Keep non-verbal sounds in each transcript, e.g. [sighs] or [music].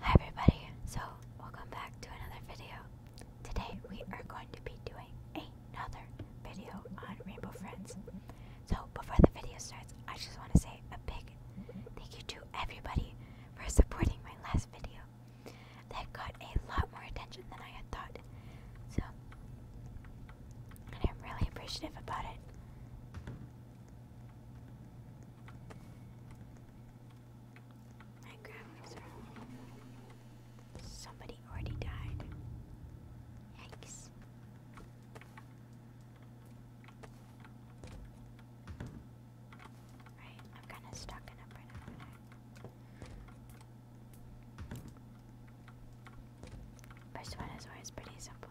Hi everybody, so welcome back to another video. Today we are going to be doing another video on Rainbow Friends. So before the video starts, I just want to say a big thank you to everybody for supporting my last video. That got a lot more attention than I had thought. So, I'm really appreciative about it. My grandma's are. Somebody already died. Yikes. Right, I'm kind of stuck in a right First one is always pretty simple.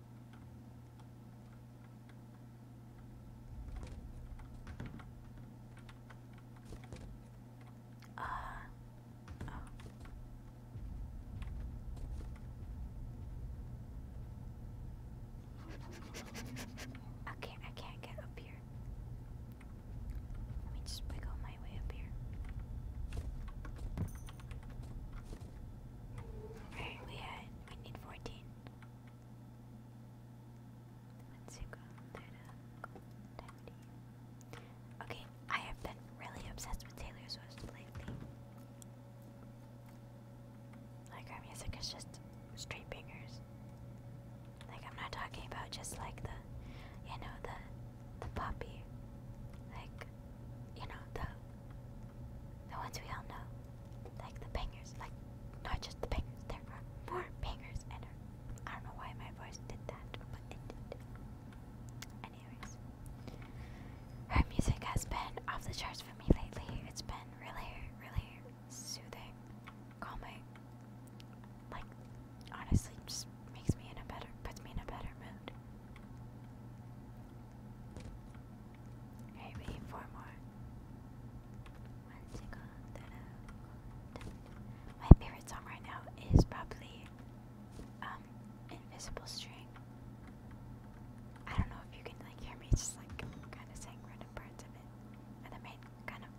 Uh, oh. [laughs] I can't get up here. Let me just wiggle my way up here. Okay, we had we need 14 Okay, I have been really obsessed with Taylor Swift lately. Like her music is just straight bangers. Like I'm not talking about just like the, you know, the the puppy, like you know the the ones we all know, like the bangers, like not just the bangers. There are more bangers, and I don't know why my voice did that, but it did. Anyways, her music has been off the charts for me lately. It's been really, really soothing, calming. Like honestly, just makes me in a better, puts me in a better mood. Alright, four more. My favorite song right now is probably um, Invisible String. I don't know if you can like hear me just like kinda saying random parts of it. And the main kind of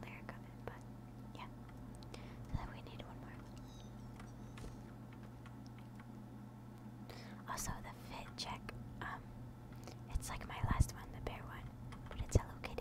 lyric of it, but yeah. So we need one more. Also, the fit check, um, it's like my last one, the bear one, but it's Hello Kitty.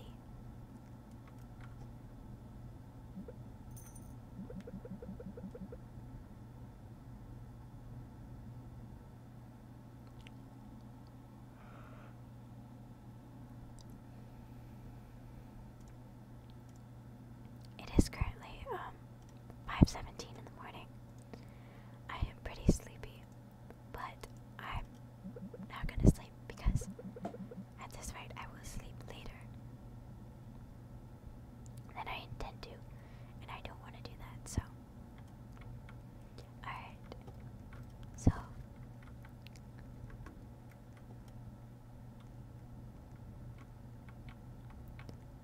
It is currently um 5:17 in the morning. I am pretty sleepy, but I'm not gonna sleep because at this rate I will sleep later than I intend to, and I don't want to do that. So, all right. So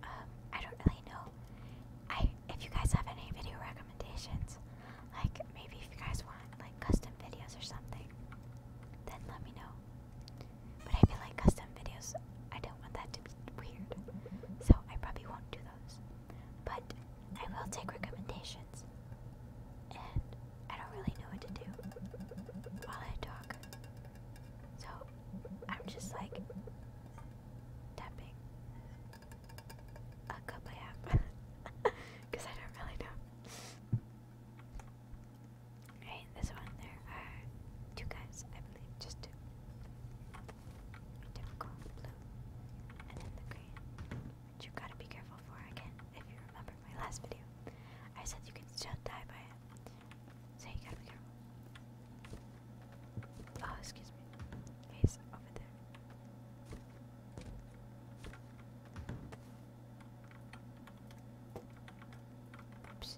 um, I don't really know. I if you guys have any video recommendations, like maybe if you guys want like custom videos or something, then let me know. But if you like custom videos, I don't want that to be weird, so I probably won't do those. But I will take recommendations, and I don't really know what to do while I talk. So I'm just like tapping a cup I because [laughs] I don't really know. Right, this one there are two guys, I believe, just blue and then the green, you gotta be careful for again if you remember my last video. I said you can still die by so you gotta be Oh, excuse me. He's over there. Oops.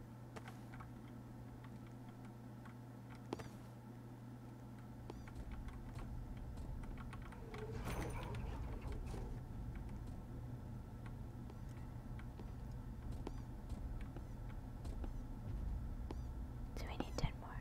Do we need ten more?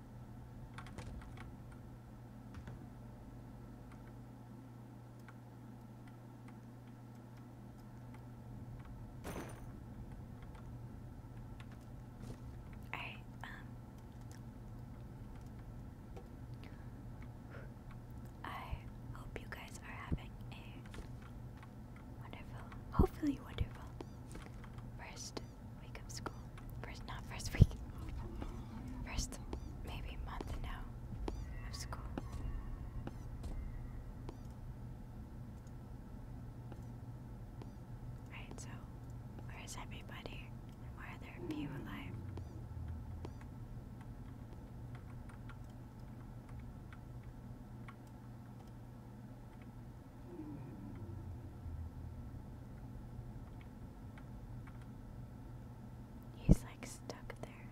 All right, um, I hope you guys are having a wonderful, hopefully wonderful first week of school. First, not first week. First, maybe month now of school. Alright, so where is everybody? Why are there few alive? He's like stuck there.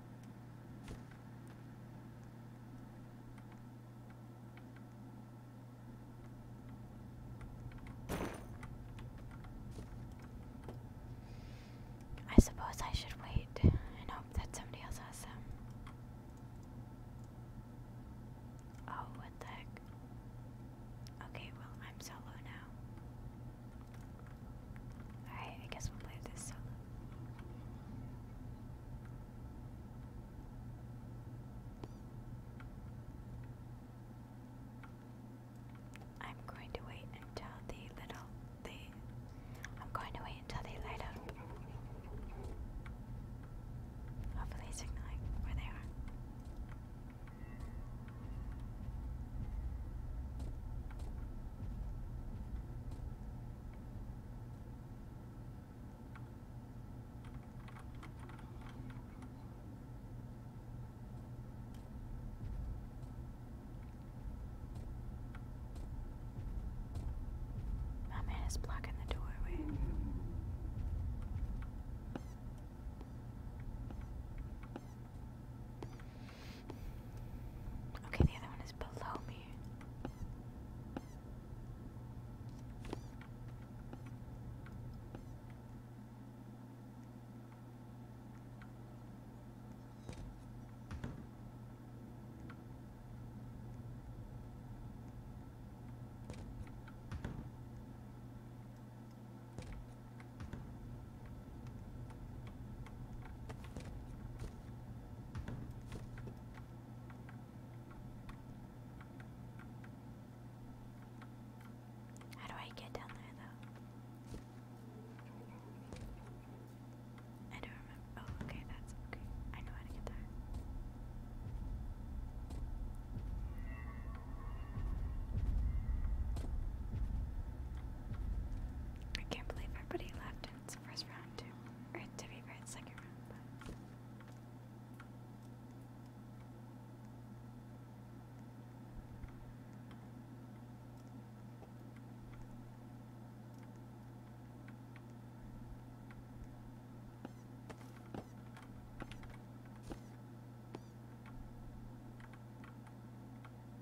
I suppose I should wait and hope that somebody else has them. Oh, what the heck? Okay, well, I'm solo now. Alright, I guess we'll play this solo. I'm going to wait until the little the I'm going to wait until they light up. Hopefully signaling where they are. My man is blocking the doorway. Okay, the other one is below me. How do I get down there though? I don't remember. Oh, okay, that's okay. I know how to get there. I can't believe everybody left in the first round too. Or to be second round,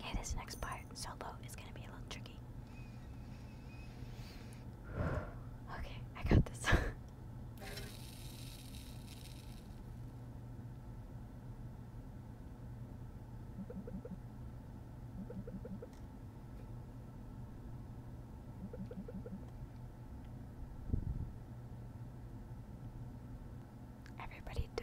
Okay, this next part, solo, is gonna be a little tricky. Okay, I got this. [laughs] Everybody died.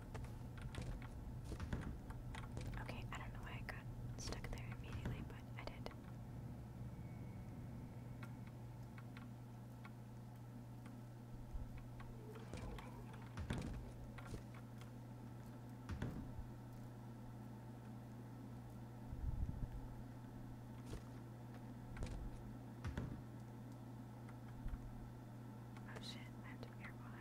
Okay, I don't know why I got stuck there immediately, but I did. Oh shit, I have to airwalk.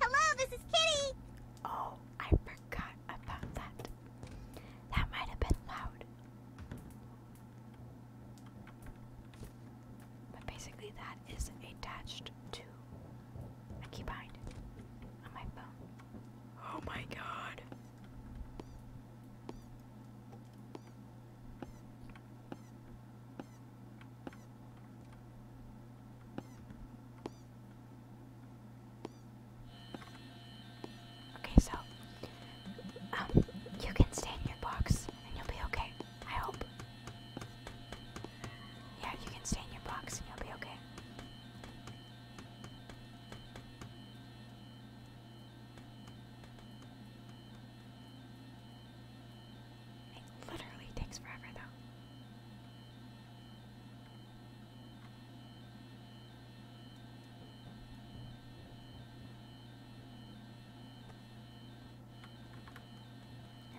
Hello, this is Kitty! Oh, I forgot about that. That might have been loud. But basically, that is attached to a key on my phone. Oh my god. Okay, so um you can stay in your box and you'll be okay. I hope. Yeah, you can stay in your box and you'll be okay. It literally takes forever, though.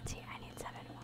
see, I need seven more.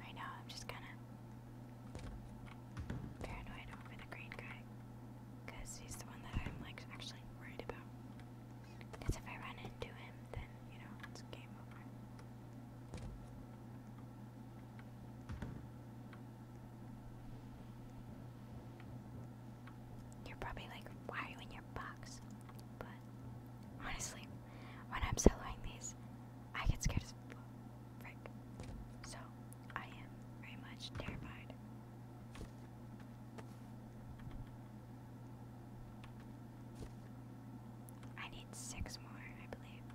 Right now, I'm just kind of paranoid over the green guy because he's the one that I'm like actually worried about. Because if I run into him, then you know it's game over. You're probably like, why are you in your box? But honestly, when I'm soloing these, I get scared as fuck. So I am very much terrified. I need six more, I believe.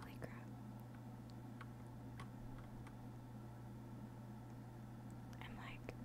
Holy crap. I'm like, there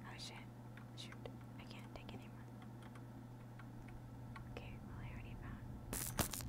Oh shit. Shoot. I can't take anyone. Okay, well I already found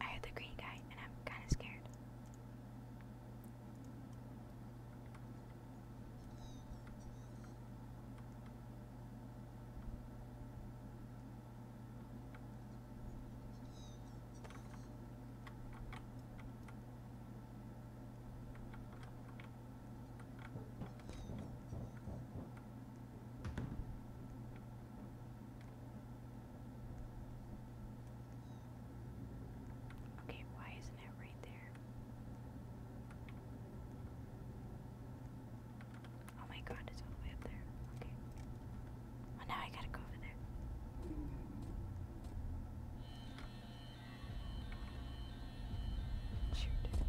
I heard the green guy, and I'm kind of scared. Okay, why isn't it right there? Oh my god, it's all the way up there. Okay. Well, oh, now I gotta go over there. Shoot.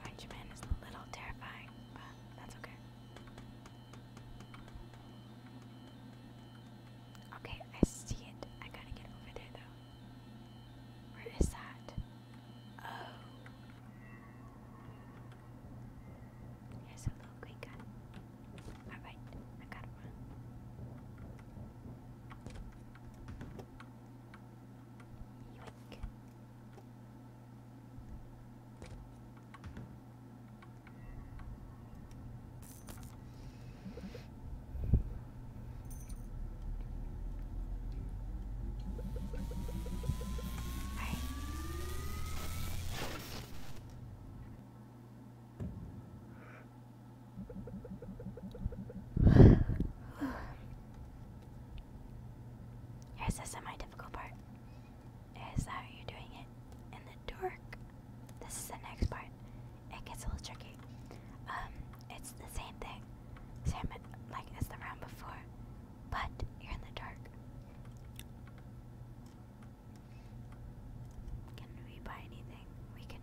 Orange Man is a little terrifying, but that's okay. Okay, I see it. I gotta get over there though. Where is that? Oh. Here's a little green gun. Alright, I got one. Yoink. [sighs] Here's the semi-difficult part. Is how you're doing it in the dark? This is the next part. It gets a little tricky. Um, it's the same thing, same like as the round before, but you're in the dark. Can we buy anything? We cannot.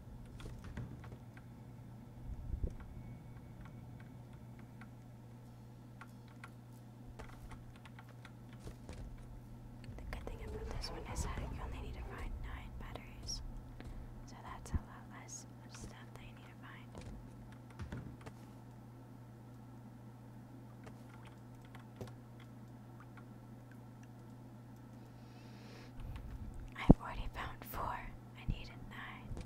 The good thing about this one is that you only need to find nine batteries. So that's a lot less of stuff that you need to find. I've already found four. I need a nine.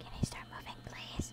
Can I start moving, please?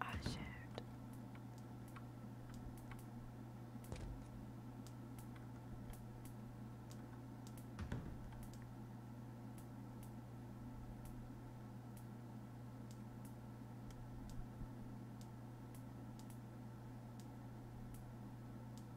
I oh, should.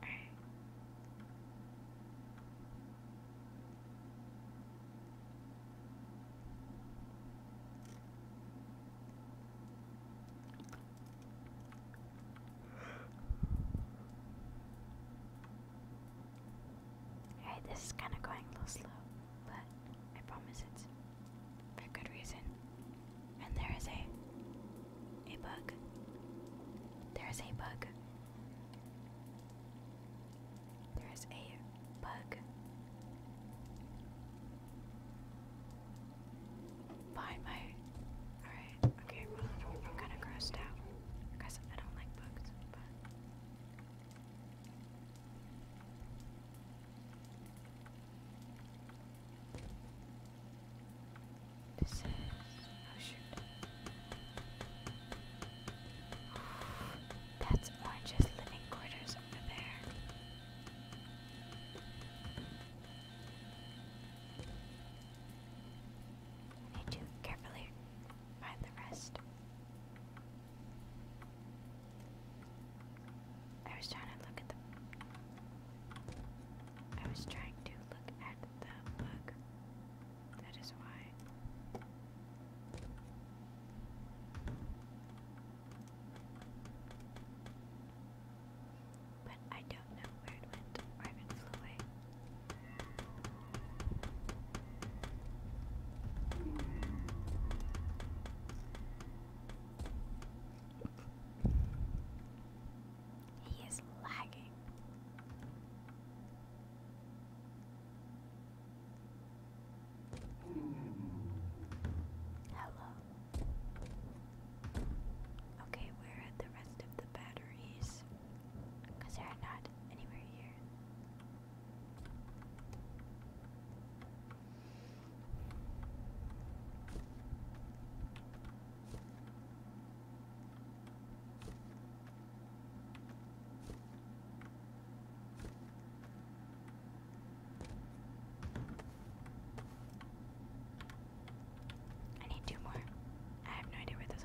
All right. Alright, this is kind of going a little slow, but I promise it's for good reason. And there is a a bug. There is a bug. There is a bug behind my. All right. Okay. Well, I'm kind of grossed out because I don't like bugs, this is That's Orange's living quarters over there. need to carefully find the rest. I was trying to look at the. I was trying to look at the book. That is why. But I don't know where it went or if it flew away. He is lagging. Hello. Okay, where are the rest of the batteries? Because they're not anywhere here. I need two more. I have no idea where those are.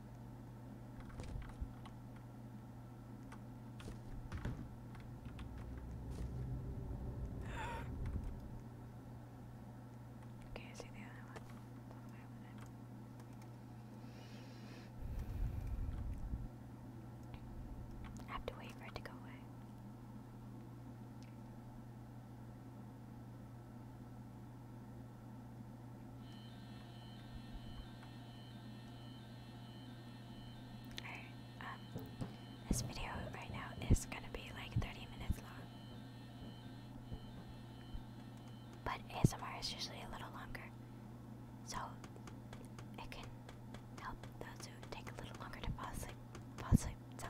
Okay, I see the other one. have to wait for it to go away. Um, this video right now is gonna be like 30 minutes long. But ASMR is usually a little longer. So it can help those who take a little longer to fall asleep fall asleep. So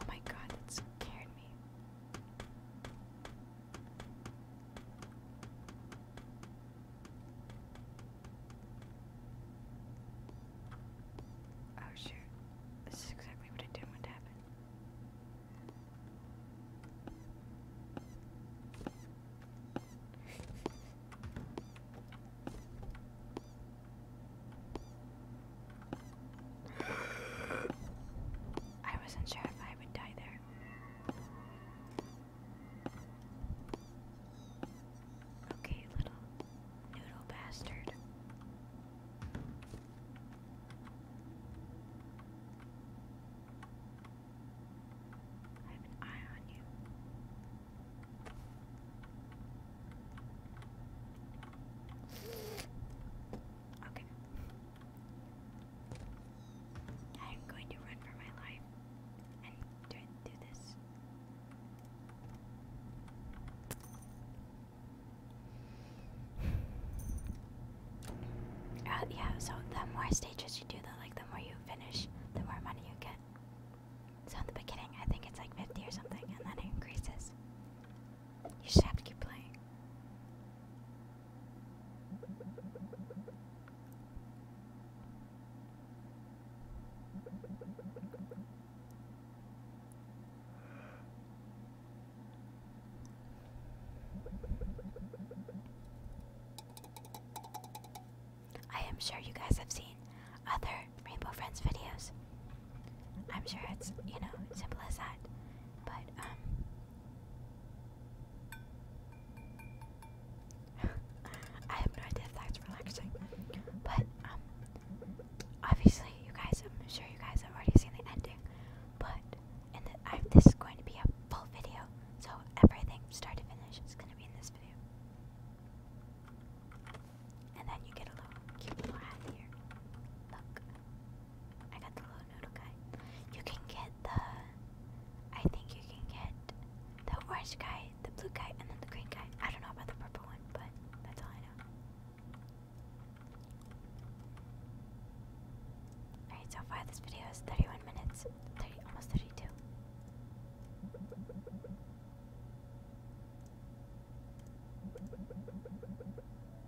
Oh my god, that scared me. Oh shoot, this is exactly what I didn't want to happen. I wasn't sure if I would die there. Okay, little noodle bastard. I have an eye on you. Okay. I'm going to run for my life and do, this. Uh, yeah, so the more stages you do, the like the more you finish, the more money you get. So in the beginning, I think it's like 50 or something, and then it increases. You have to keep playing. I am sure you guys have seen other Rainbow Friends videos I'm sure it's, you know, simple as that. But, um, [laughs] I have no idea if that's relaxing. But, um, obviously, you guys, I'm sure you guys have already seen the ending. But, and this is going to be a full video, so everything start to finish is going to be in this video. And then you get a little cute little hat here. Look. I got the little noodle guy. You can get the. I think you can get the orange guy, the blue guy, and then the green guy. I don't know about the purple one, but that's all I know. Alright, so far this video is 31 minutes, almost 32.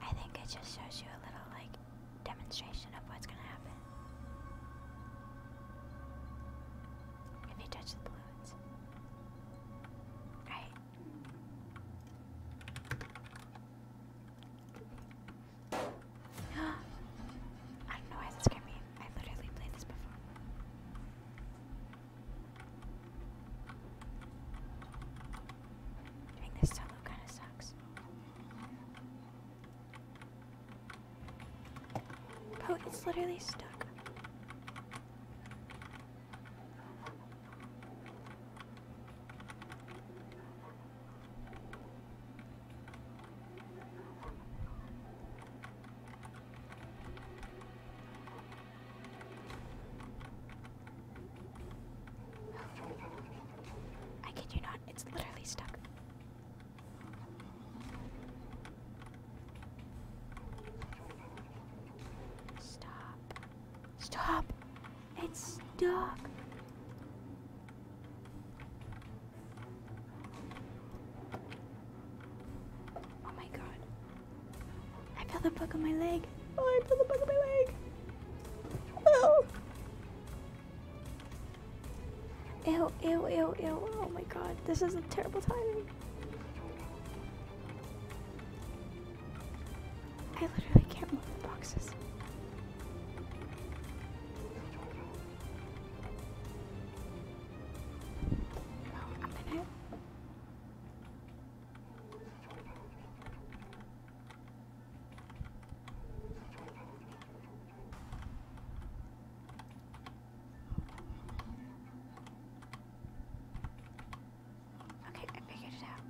I think it just shows you a little like demonstration of what's gonna happen if you touch the balloons. Right. [gasps] I don't know why this scared me game. I literally played this before. Doing this solo kind of sucks. Oh, it's literally stuck. I kid you not, it's literally stuck. Stop. Stop! It's stuck! Oh my god. I feel the bug on my leg. Oh, I feel the bug on my leg. Oh. Ew, ew, ew, ew. Oh my god. This is a terrible timing. I literally can't move the boxes. Okay, I figured it out.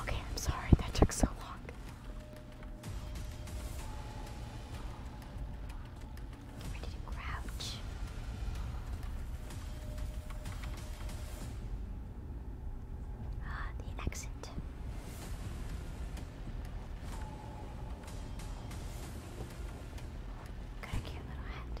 Okay, I'm sorry that took so long. Where did crouch? Ah, the exit. Got a cute little hat.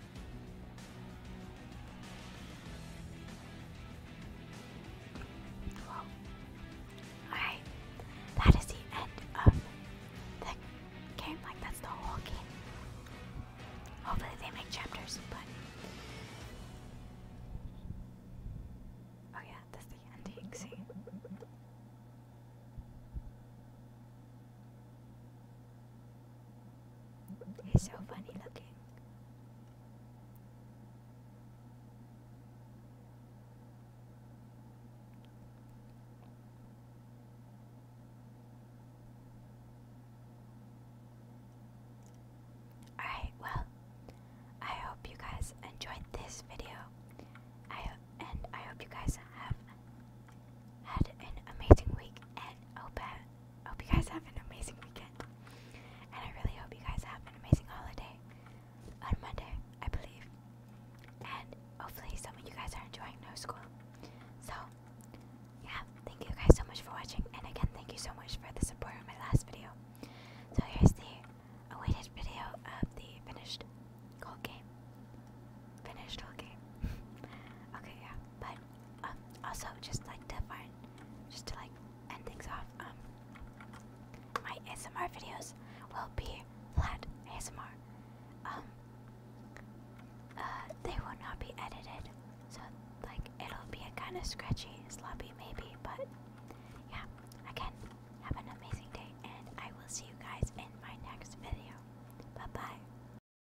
alright. That is the end of the game. Like, that's the whole game. Hopefully, they make chapters, but. Oh, yeah, that's the ending. See? He's so funny looking. Alright, well, I hope you guys enjoyed this video. I and I hope you guys have had an amazing week, and hope, hope you guys have an amazing weekend. And I really hope you guys have an amazing holiday on Monday, I believe. And hopefully, some of you guys are enjoying no school. So, yeah, thank you guys so much for watching. And again, thank you so much for the support on my last video. So, here's the awaited video of the finished goal game. Finished whole game. [laughs] okay, yeah, but uh, also, just like to find, just to like end things off, um, my ASMR videos will be flat ASMR. Um, uh, they will not be edited, so like it'll be a kind of scratchy, sloppy maybe, but yeah. Again, have an amazing day, and I will see you guys in my next video. Bye bye.